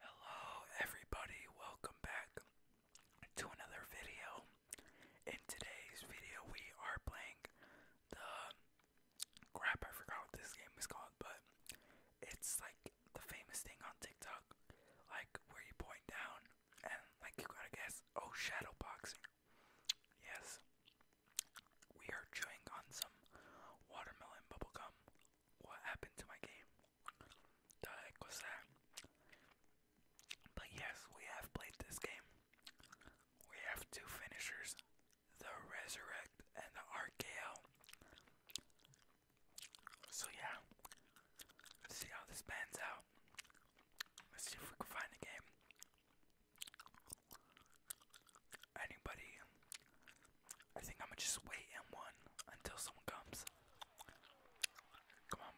Hello, everybody, welcome back to another video. In today's video, we are playing the crap, I forgot what this game is called, but it's like the famous thing on TikTok, like where you point down and like you gotta guess. Oh, shadow boxing. Yes, we are chewing on some watermelon bubblegum what happened to my game? The heck was that? But yes, we have played this game. We have two finishers, the Resurrect and the RKO. So yeah, see how this pans out. Let's see if we can find a game. Anybody I think I'm gonna just wait and one until someone comes. Come on,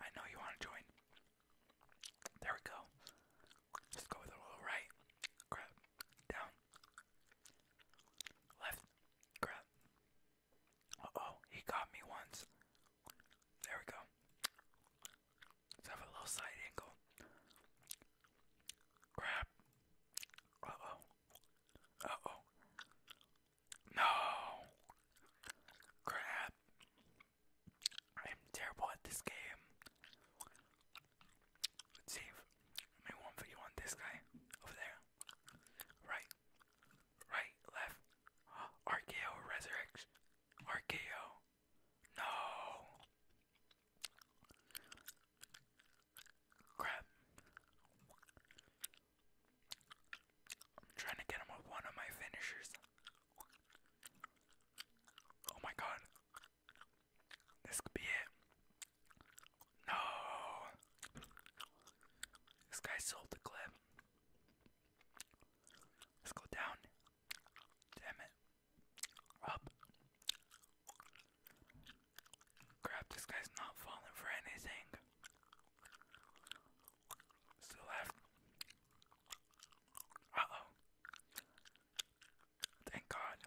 I know you want to join. There we go. Just go with a little right, grab, down, left, grab. Uh oh, he got me once. There we go. Let's have a little side angle. Grab. Uh oh oh. No. Crap. I am terrible at this game. let I make one video on this guy over there. Right. Right, left. RKO resurrection. RKO. No. Crap. I'm trying to get him with one of my finishers. Oh my god. This could be it. No. This guy sold the clip. Let's go down. Damn it. Up. Crap, this guy's not falling for anything. Still left. Uh oh. Thank God.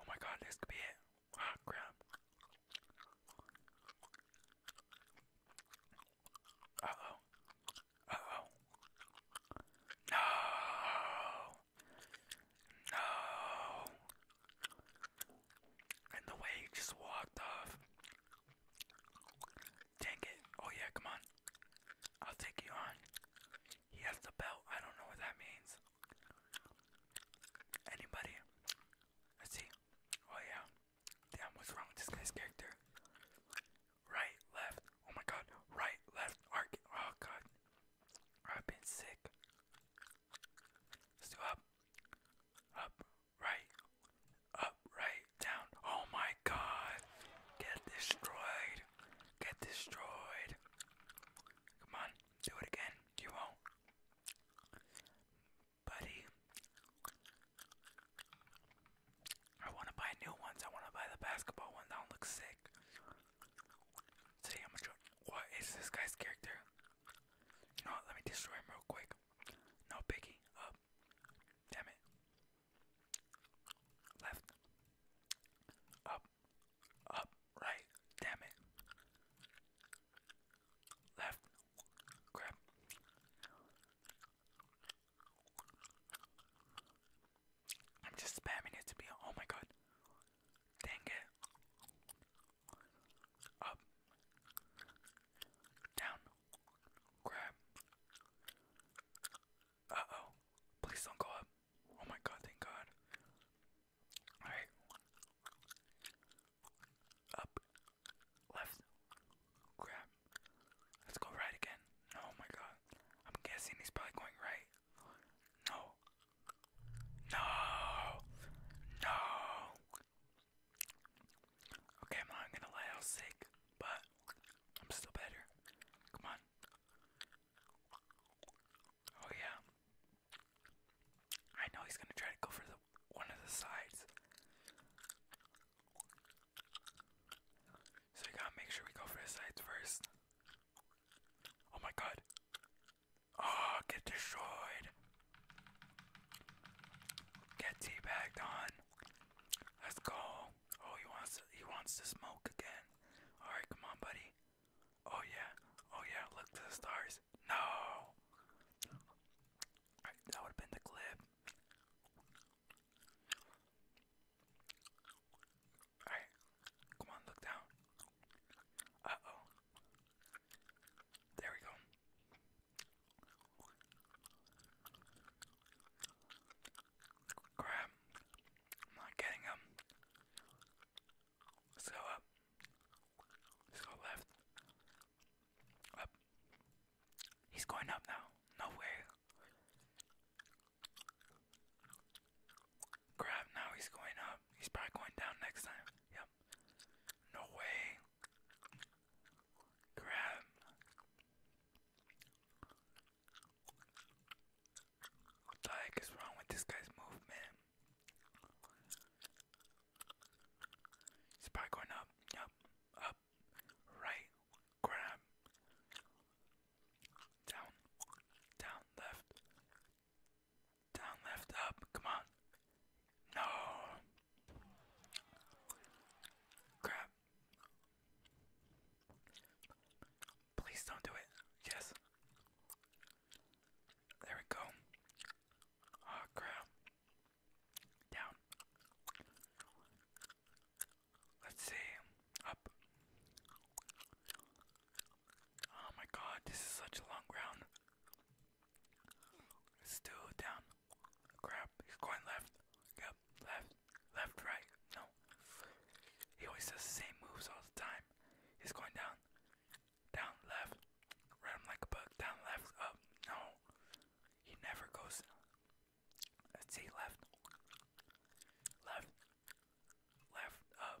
Oh my god, this could be it. Ah, crap. Uh oh. Uh oh. No! No. And the way he just walked off. Dang it. Oh, yeah, come on. I'll take you on. He has the belt. I don't know what that means. Anybody? Let's see. Oh, yeah. Damn, what's wrong with this guy's character? Right, left. Oh my god. Right, left, arc. Oh god. I've been sick. Let's do up, up, right, up, right, down. Oh my god. Get destroyed. Get destroyed. Come on, do it again. You won't. Buddy. I want to buy new ones. I want to buy the basketball one. That one sick. Today I'm is this guy's character? You Let me destroy him real quick. No biggie. Up. Damn it. Left. Up. Up. Right. Damn it. Left. Crap. I'm just spamming it to be. Oh my god. Dang it. Up. Down. Grab. Uh oh. Please don't go up. Oh my god, thank god. Alright. Up. Left. Grab. Let's go right again. Oh my god. I'm guessing he's probably going right. No. No. No. Okay, I'm gonna lie, I was sick, but I'm still better. Come on. Oh yeah. I know he's gonna try to go for the one of the sides. So we gotta make sure we go for the sides first. Oh my god. Oh, get destroyed. Get teabagged on. Let's go. Oh, he wants to, he wants to smoke again. All right, come on, buddy. Oh yeah. Oh yeah. Look to the stars. No. All right, that would have been the clip. Alright, come on, look down. Uh oh. There we go. Crap. not getting him. Let's go up. Let's go left. Up. He's going up now. No way. Crap, now he's going up. He's probably going down next time. Yep. No way. Crap. What the heck is wrong with this guy's movement? He's probably going up. Yep. Up. Right. Grab. Down, down, left, down, left, up. Come on. No. Crap. Please don't do it. Yes. There we go. Oh crap. Down. Let's see. Up. Oh my god, this is such a long round. Still down. Crap, he's going left. Yep, left, left, right. No. He always does the same moves all the time. He's going down. Down, left. Run like a bug. Down, left, up. No. He never goes. Let's see, left. Left. Left, up, um,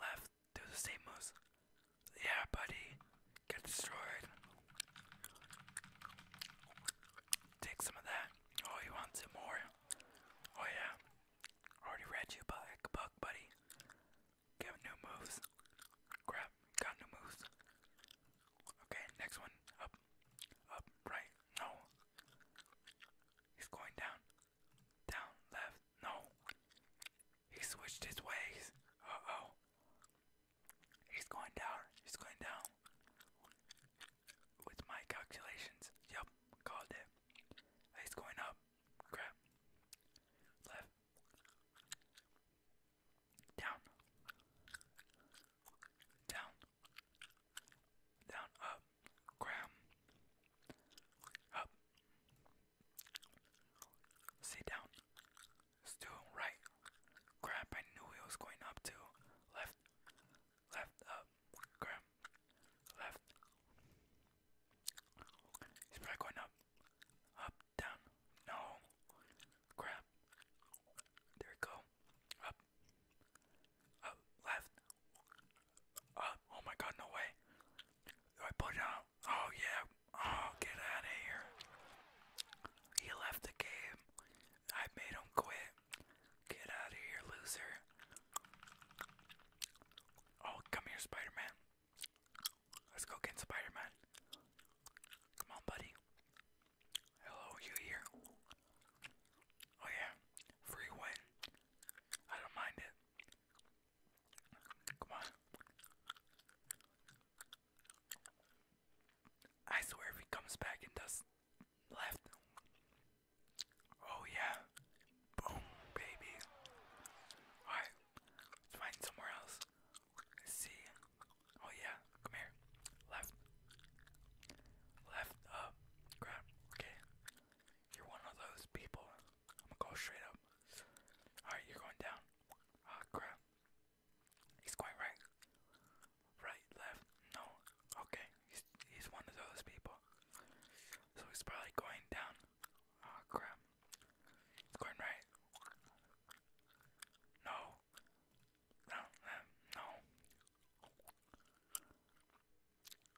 left, do the same moves. Yeah, buddy, get destroyed. Take some of that. Oh, you want some more? Oh, yeah. Already read you like a book, buddy. Give new moves. Crap, got new moves. Okay, next one. Up, up, right. No, He's going down. Down, left, no. He switched his ways. Uh oh. He's going down. He's going down. With my calculations. Yup, called it. He's going up. Crap. Left. Down. Down. Down, up, ground, up. Sit down. Still right. Grab. I knew it was going up to left, left, up, grab, left. He's probably going up, up, down. No, grab. There we go. Up. Up. Left. Up. Oh my god, no way. Do I put it out? Oh yeah. Oh, get out of here. He left the game. I made him quit. Get out of here, loser. Oh, come here, Spider Man. Let's go get Spider Come on, buddy. Hello, you here? Oh yeah, free win. I don't mind it. Come on. I swear if he comes back and does left. Oh yeah. Boom, baby. Alright, let's find somewhere else. see. Oh yeah, come here. Left. Left up. Crap. Okay. You're one of those people. I'm gonna go straight up. Alright, you're going down. Ah, crap. He's going right. Right, left. No. Okay. He's, he's one of those people. So he's probably going down. Ah, crap. He's going right. No. No, no.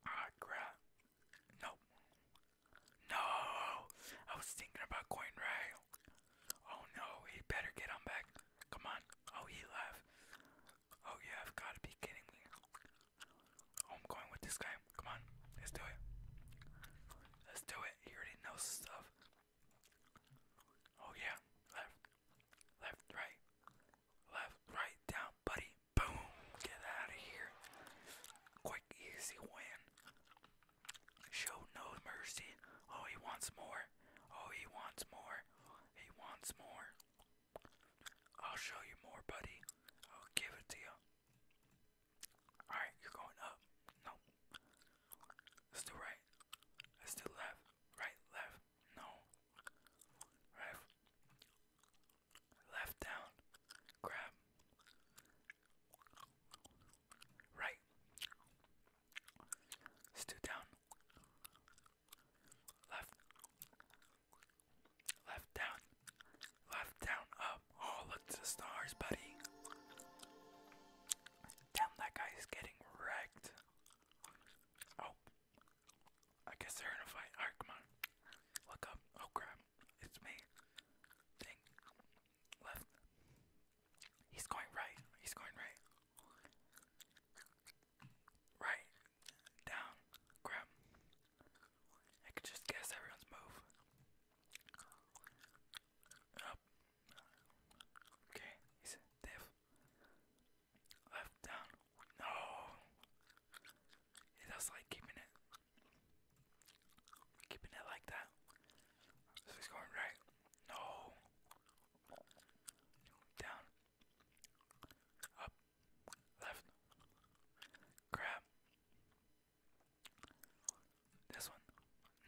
Ah, crap. No. No! I was thinking about going right. Oh no, he better get on back. Come on. Oh, he left. Oh, you have got to be kidding me. Oh, I'm going with this guy. Come on. Let's do it. Let's do it. He already knows stuff. Oh, yeah. Left. Left, right, left, right, down, buddy. Boom. Get out of here. Quick, easy win. Show no mercy. Oh, he wants more. Oh, he wants more. He wants more. I'll show you more, buddy. I'll give it to you. Alright, you're going up. No. Let's do right. Let's do left. Right, left. No. Right. Left down. Grab. Right. let down. Left. Left down. Left down up. Oh look to the stars, buddy. Damn that guy is getting wrecked. Oh, I guess they're in a fight. Alright, come on. Look up. Oh crap. It's me. Thing. Left. He's going right. He's going right. Right. Down. Crap. I could just guess everyone's move. Up. Okay. He's Left down. No. It like keeping it. Keeping it like that. So he's going right. No. Down. Up. Left. Grab. This one.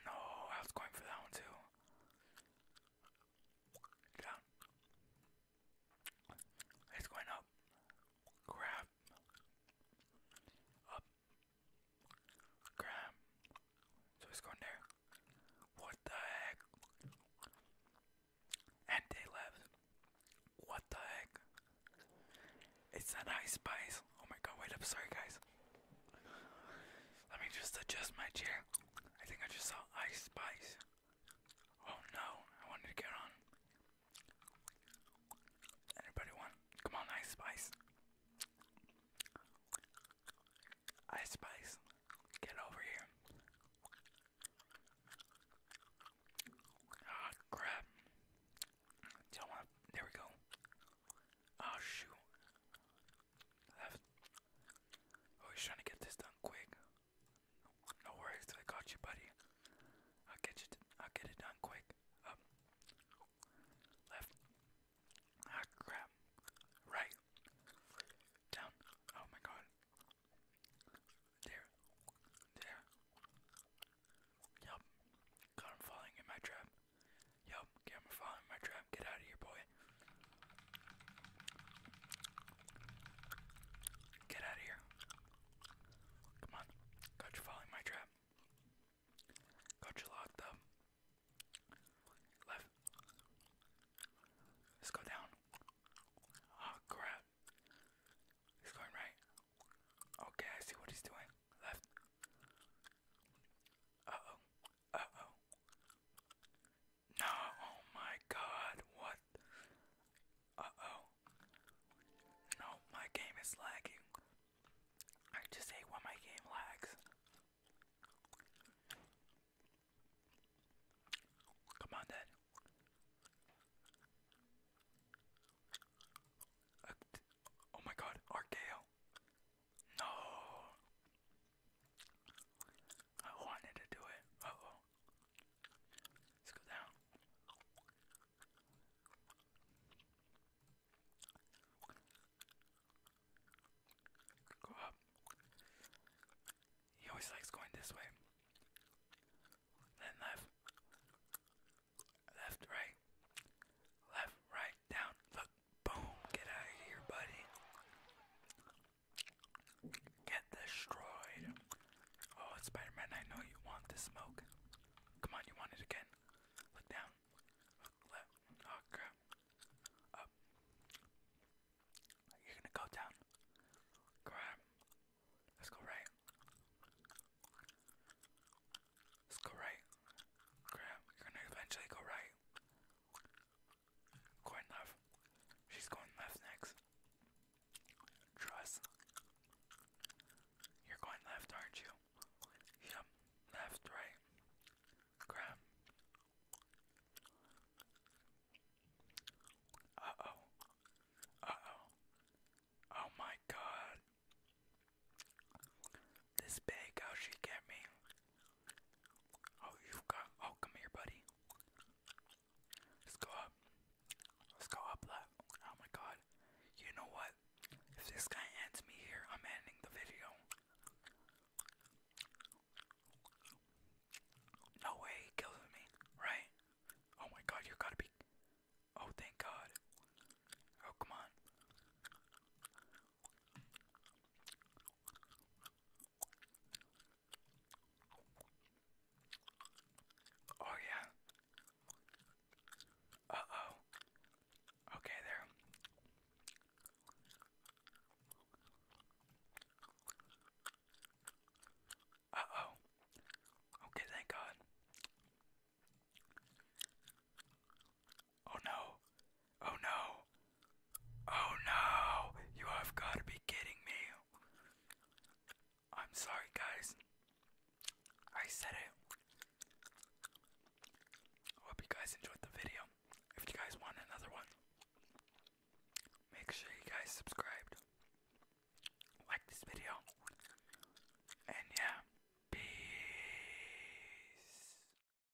No, I was going for that one too down. It's going up. Grab. Up. Grab. So it's going there. What the heck? And they left. What the heck? It's a nice spice. Oh my god, wait up, sorry guys. Let me just adjust my chair. I think I just saw Ice Spice. Oh no, I wanted to get on. Anybody want? Come on, Ice Spice. Ice Spice, get over here. Ah, crap. Don't There we go. Oh shoot, Left. Oh, he's trying to get this done quick. No worries, I got you, buddy. I'll get you. I'll get it done quick. Up. Um, left. Ah, crap. Right. Down. Oh my God. There. There. Yup. God, falling in my trap. Yup. Okay, falling in my trap. Get out of here, boy. Get out of here. Come on. Got you following my trap. Got you locked up. Left. Let's go down. Oh crap. He's going right. Okay, I see what he's doing. Left. Uh oh. Uh oh. No, oh my god, what? Uh-oh. No, my game is lagging. I just hate when my game lags. Come on, Dad. Uh, oh my god, RKO. No. I wanted to do it. oh. Let's go down. Go up. He always likes going this way. Then left. Left, right. Left, right, down. Look. Boom. Get out of here, buddy. Get destroyed. Oh, Spider Man, I know you want the smoke. Come on, you want it again. Look down. Oh, Up. You're gonna go down. Crap. Let's go right. Let's go right. Crap. You're gonna eventually go right. Going left. She's going left next. Trust. You're going left, aren't you? Yep. Left, right. Grab. Uh oh. Uh oh. Oh my god. This big, how she get me? Oh, you've got. Oh, come here, buddy. Let's go up. Let's go up left. Oh my god. You know what? If this guy ends me here, I'm ending the video. No way he kills me, right? Oh my god, you gotta be. Oh, thank god. Oh, come on. Oh, yeah. Uh oh. Okay, there. Uh oh. Okay, thank God. Oh no. Oh no. Oh no. You have got to be kidding me. I'm sorry, guys. I said it. Hope you guys enjoyed the video. If you guys want another one, make sure you guys subscribed, like this video, and yeah, peace.